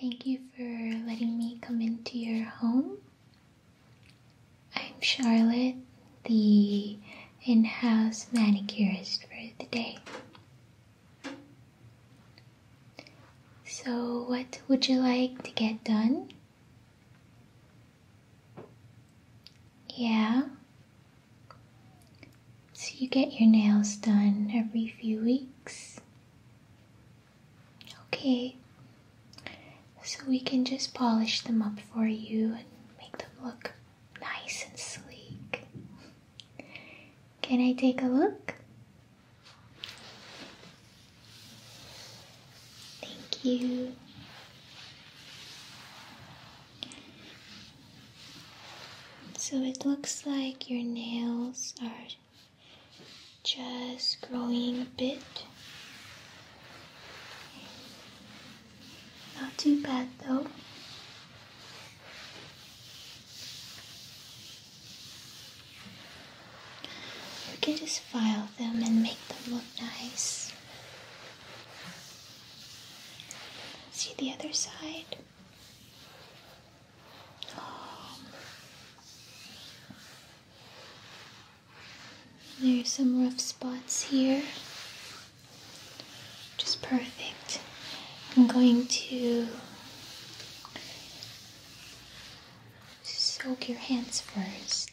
Thank you for letting me come into your home. I'm Charlotte, the in house manicurist for the day. So, what would you like to get done? Yeah. So you get your nails done every few weeks. Okay. So we can just polish them up for you and make them look nice and sleek. Can I take a look? Thank you. So it looks like your nails are just growing a bit. Not too bad though. You can just file them and make them look nice. See the other side? There's some rough spots here, Just perfect. I'm going to soak your hands first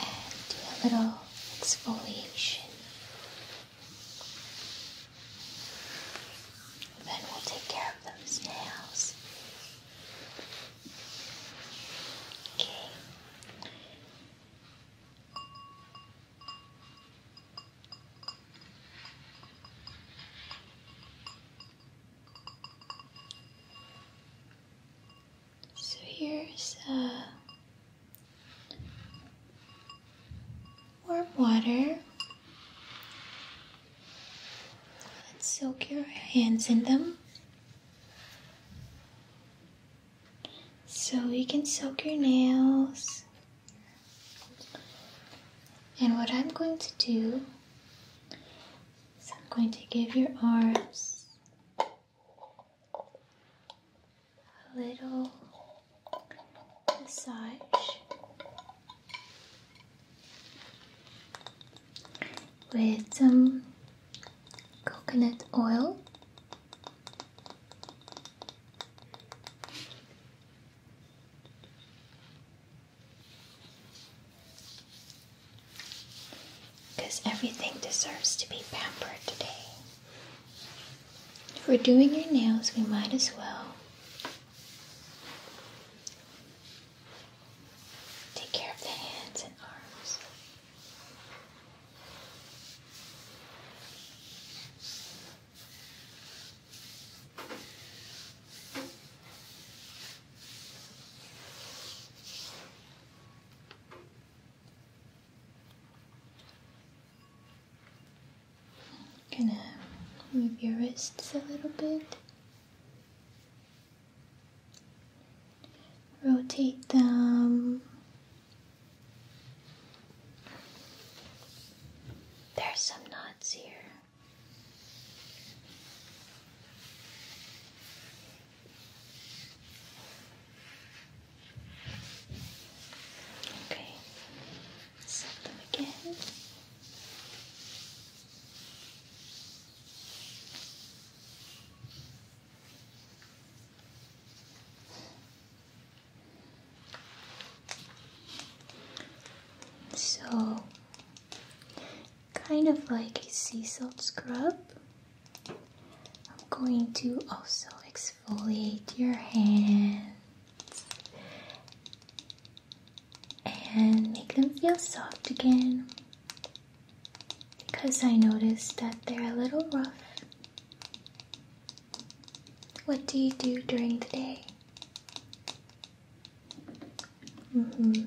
and do a little exfoliation then we'll take care of those nails. Okay. So here's a uh, warm water. Let's soak your hands in them. So you can soak your nails. And what I'm going to do is I'm going to give your arms a little massage with some coconut oil. Because everything deserves to be pampered today. If we're doing your nails, we might as well take care of the hands and arms gonna move your wrists a little bit. Rotate them. There's some knots here. Okay, set them again. So, kind of like a sea salt scrub, I'm going to also exfoliate your hands and make them feel soft again because I noticed that they're a little rough. What do you do during the day? Mm -hmm.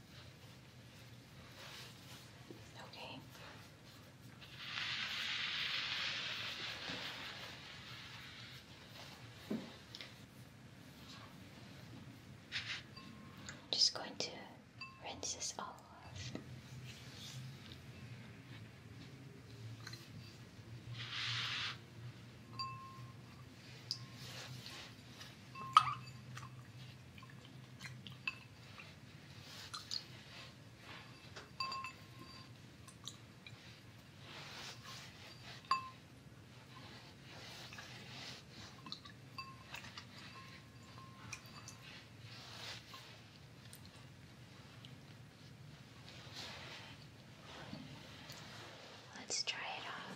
Okay. I'm just going to rinse this off. Let's try it on.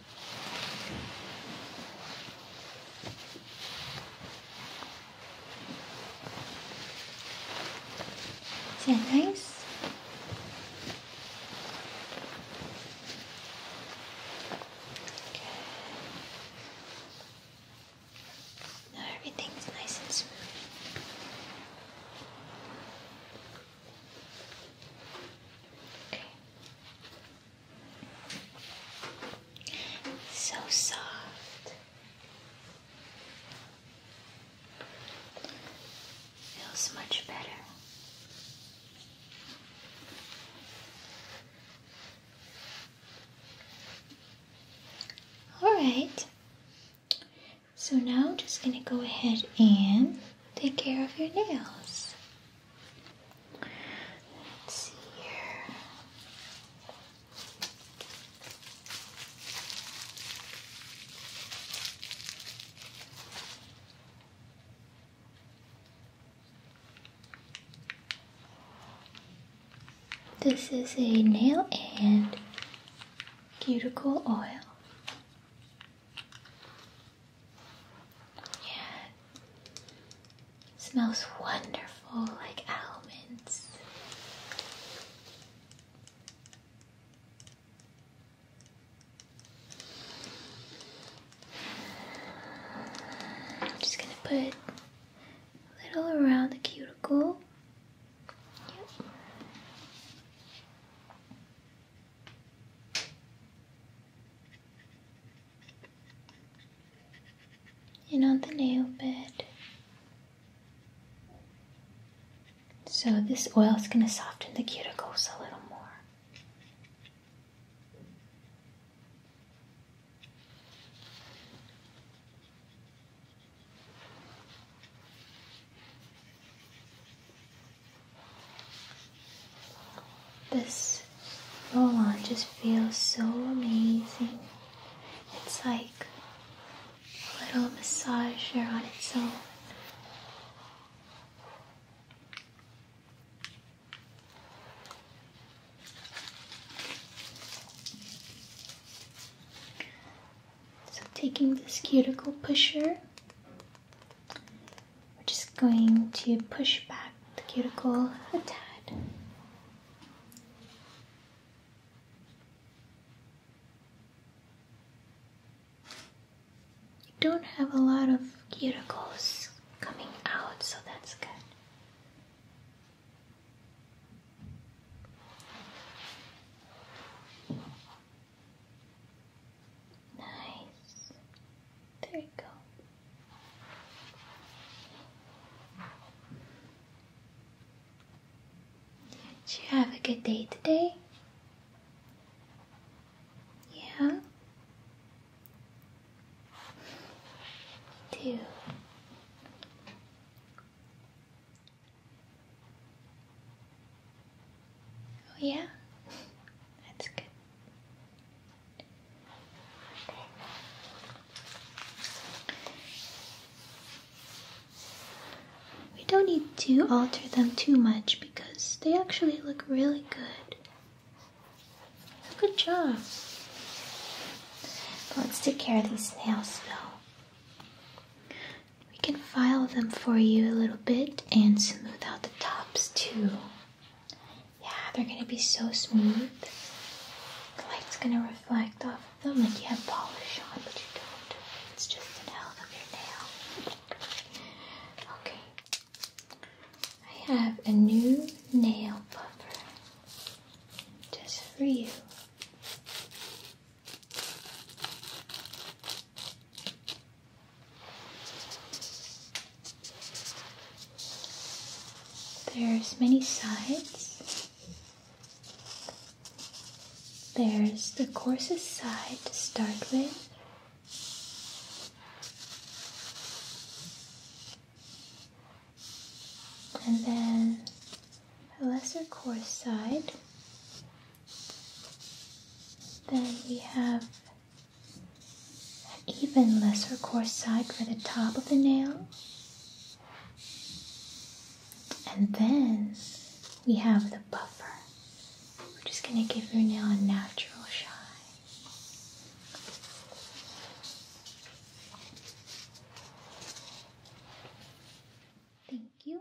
Is that nice? Okay. Now everything's nice and smooth. Okay. So soft. Feels much better. All right. So now I'm just going to go ahead and take care of your nails. Let's see here. This is a nail and cuticle oil. Yeah. Smells wonderful like almonds. I'm just gonna put a little around the cuticle. Yep and on the nail bed. So, this oil is going to soften the cuticles a little more. This roll-on just feels so amazing. It's like a little massager on its own. So taking this cuticle pusher we're just going to push back the cuticle a tad. You don't have a lot of cuticles coming out, so that's good. Nice. There you go. Did you have a good day today? Yeah? Two. Oh yeah? That's good. We don't need to alter them too much because they actually look really good. Good job. let's take care of these nails though. We can file them for you a little bit and smooth out the tops too. Yeah, they're gonna be so smooth. The light's gonna reflect off of them like you have polish on, but you don't. It's just the hell of your nail. Okay. I have a new nail buffer just for you. There's many sides. There's the coarsest side to start with. And then a lesser coarse side. Then we have even lesser coarse side for the top of the nail. And then we have the buffer. We're just going to give your nail a natural shine. Thank you.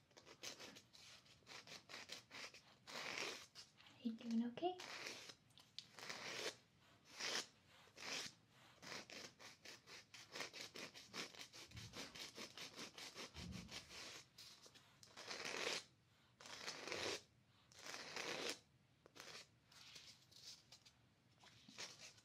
Are you doing okay?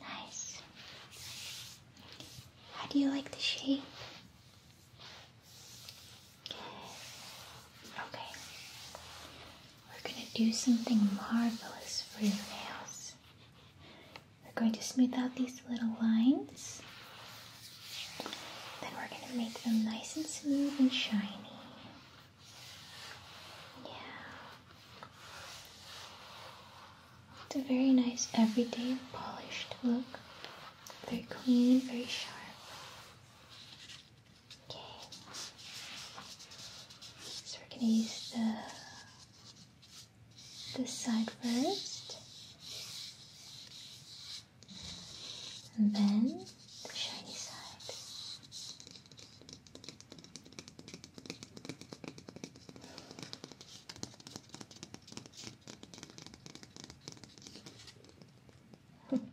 Nice. How do you like the shape? Okay, we're gonna do something marvelous for your nails. We're going to smooth out these little lines. Then we're going to make them nice and smooth and shiny. Yeah. It's a very nice, everyday, polished look. Very clean, very sharp. Okay. So we're going to use the this side first, and then the shiny side.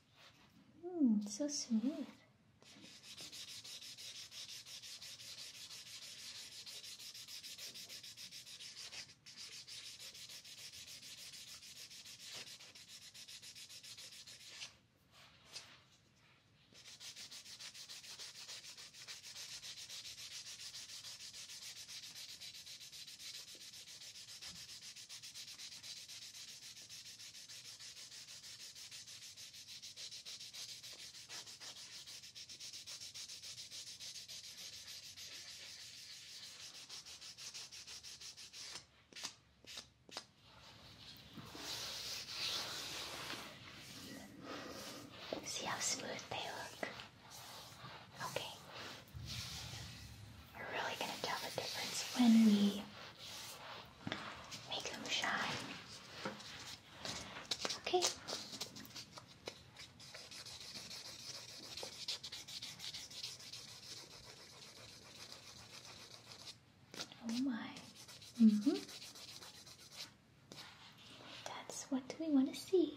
Mm, so smooth. See how smooth they look. Okay. We're really going to tell the difference when we Make them shine. Okay. Oh my. hmm That's what we want to see.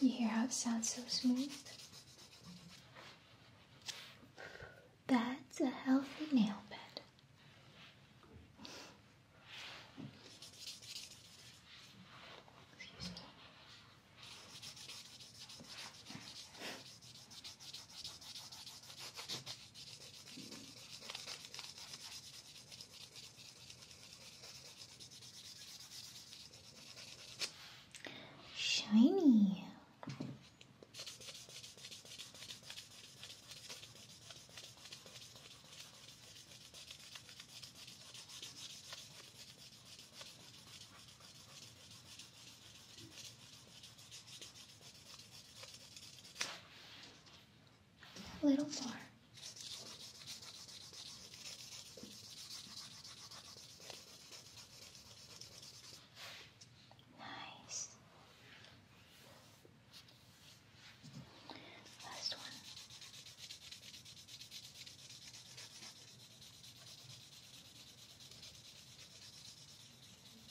You hear how it sounds so smooth? That's a healthy nail bed. Shiny a little more. Nice. Last one.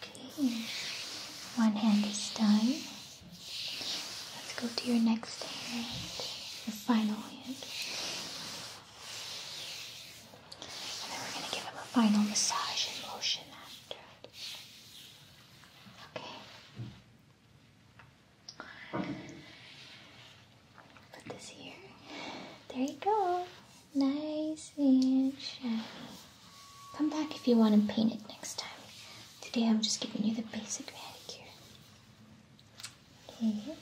Okay, one hand is done. Let's go to your next hand, your final hand. And then we're going to give him a final massage and lotion after Okay. Put this here. There you go. Nice and shiny. Come back if you want to paint it next time. Today I'm just giving you the basic manicure. Okay.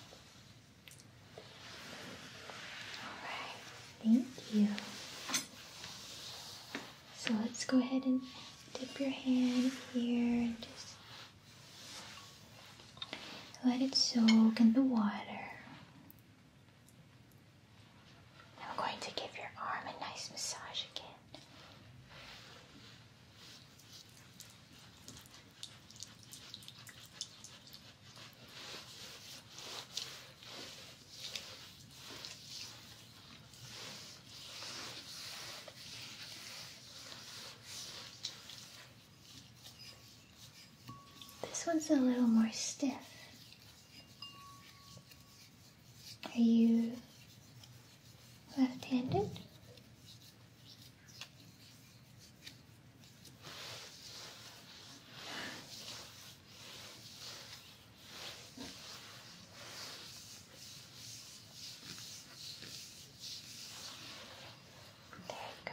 Alright, thank you. So let's go ahead and dip your hand here and just let it soak in the water. I'm going to give your arm a nice massage again. This one's a little more stiff. Are you left-handed? There you go.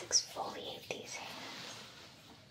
Let's exfoliate these hands.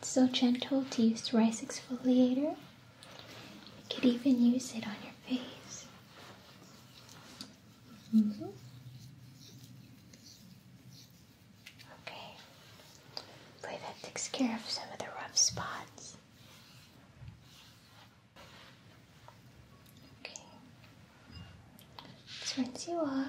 It's so gentle to use rice exfoliator. You could even use it on your face. -hmm. Okay, Hopefully that takes care of some of the rough spots. Okay. rinse you off.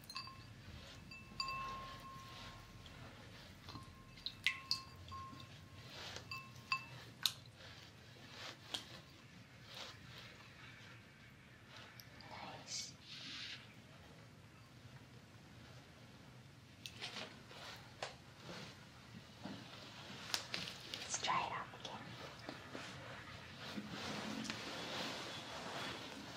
Nice. Let's try it out again.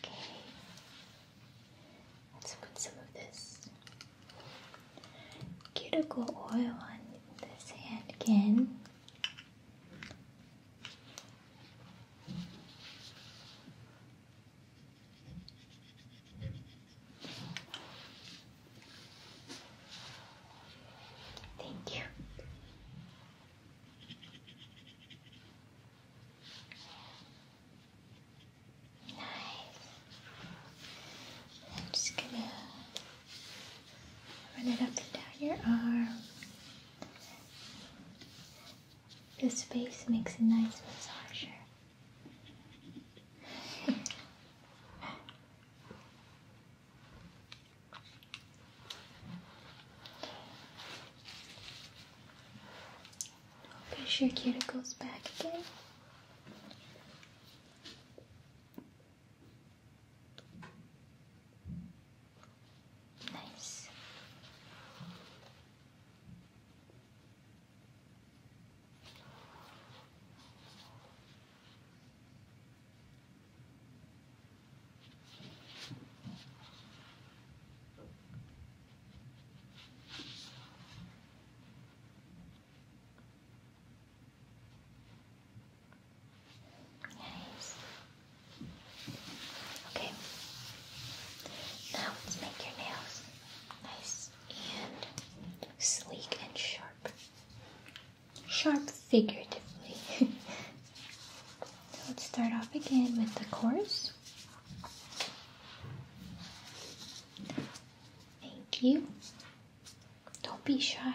Okay, let's put some of this cuticle oil on this hand again. Thank you. Nice. I'm just gonna run it up and down your arm. This face makes a nice massager. Push your cuticles back again. Nice. Nice. Okay. Now let's make your nails nice and sleek and sharp sharp figuratively. let's start off again with the chorus. Thank you. Don't be shy.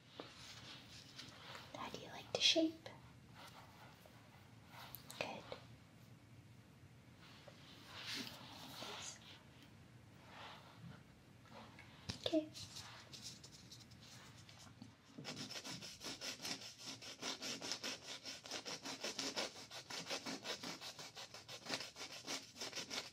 How do you like to shape? Good. Okay.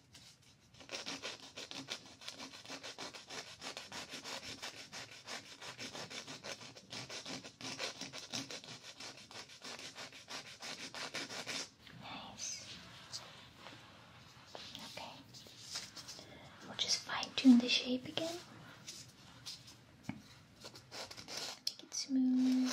Okay. We'll just fine tune the shape again. Make it smooth.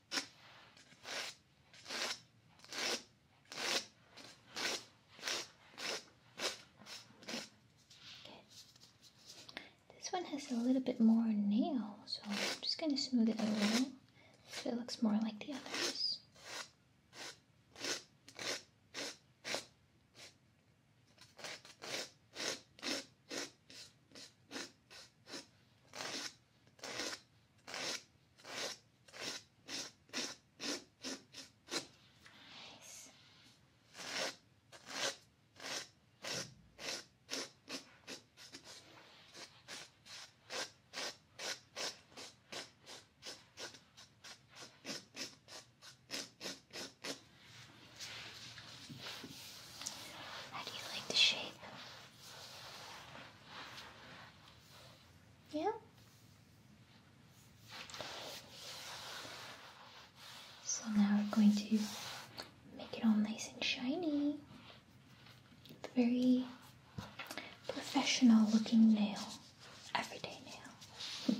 This one has a little bit more nail, so I'm just going to smooth it a little so it looks more like the others. Nice. How do you like the shape? Yeah. So now we're going to make it all nice and shiny. Very professional looking nail, everyday nail. okay.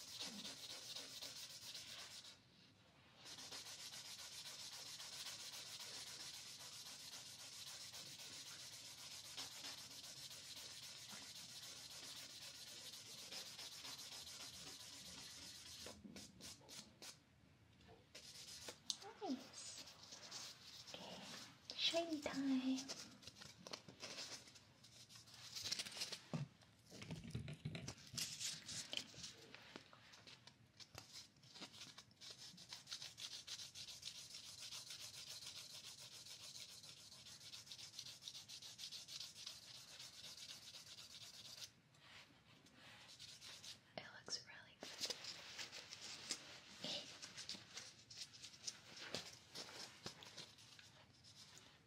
Nice. Okay, shiny time. It looks really good.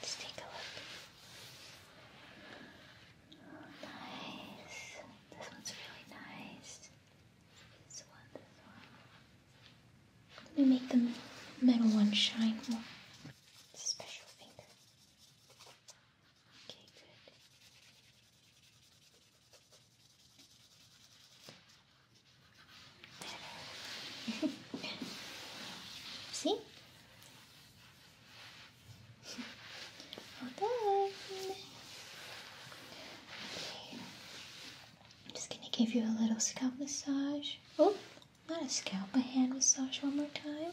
Let's take a look. Oh, nice. This one's really nice. This one, this one. Let me make the metal one shine more. It's a special finger. Okay, good. Better. See? Well done. Okay. I'm just gonna give you a little scalp massage. Oh, not a scalp, but hand massage one more time.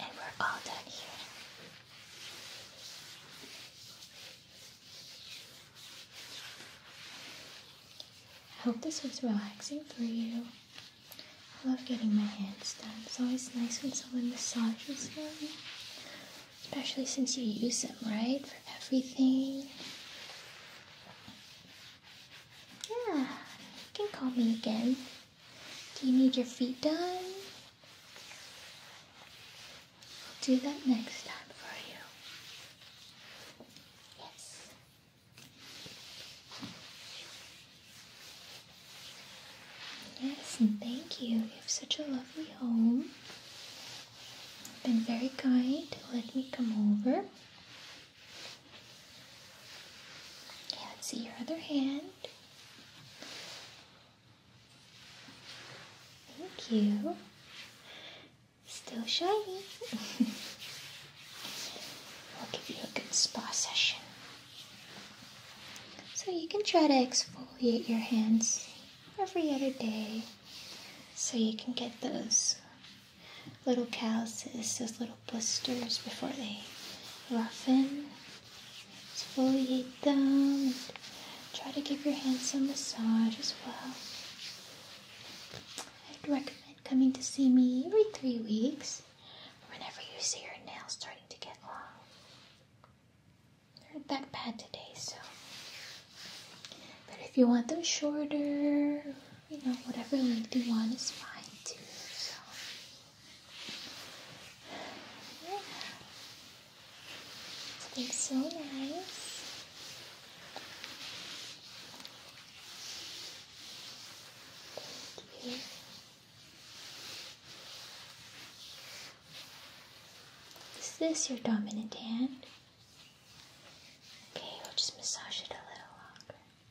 And we're all done here. I hope this was relaxing for you. I love getting my hands done. It's always nice when someone massages them. Especially since you use them, right? For everything. Yeah, you can call me again. Do you need your feet done? I'll do that next time for you. Yes. Yes, and thank you. You have such a lovely home. been very kind to let me come over. Okay, let's see your other hand. Thank you. Still shiny. I'll give you a good spa session. So you can try to exfoliate your hands every other day so you can get those little calluses, those little blisters before they roughen Exfoliate them. Try to give your hands some massage as well. I'd recommend coming to see me every three weeks whenever you see your nails starting to get long. They're not that bad today, so. But if you want them shorter, you know, whatever length you want is fine too. So it's so nice. Thank Is this your dominant hand? Okay, we'll just massage it a little longer.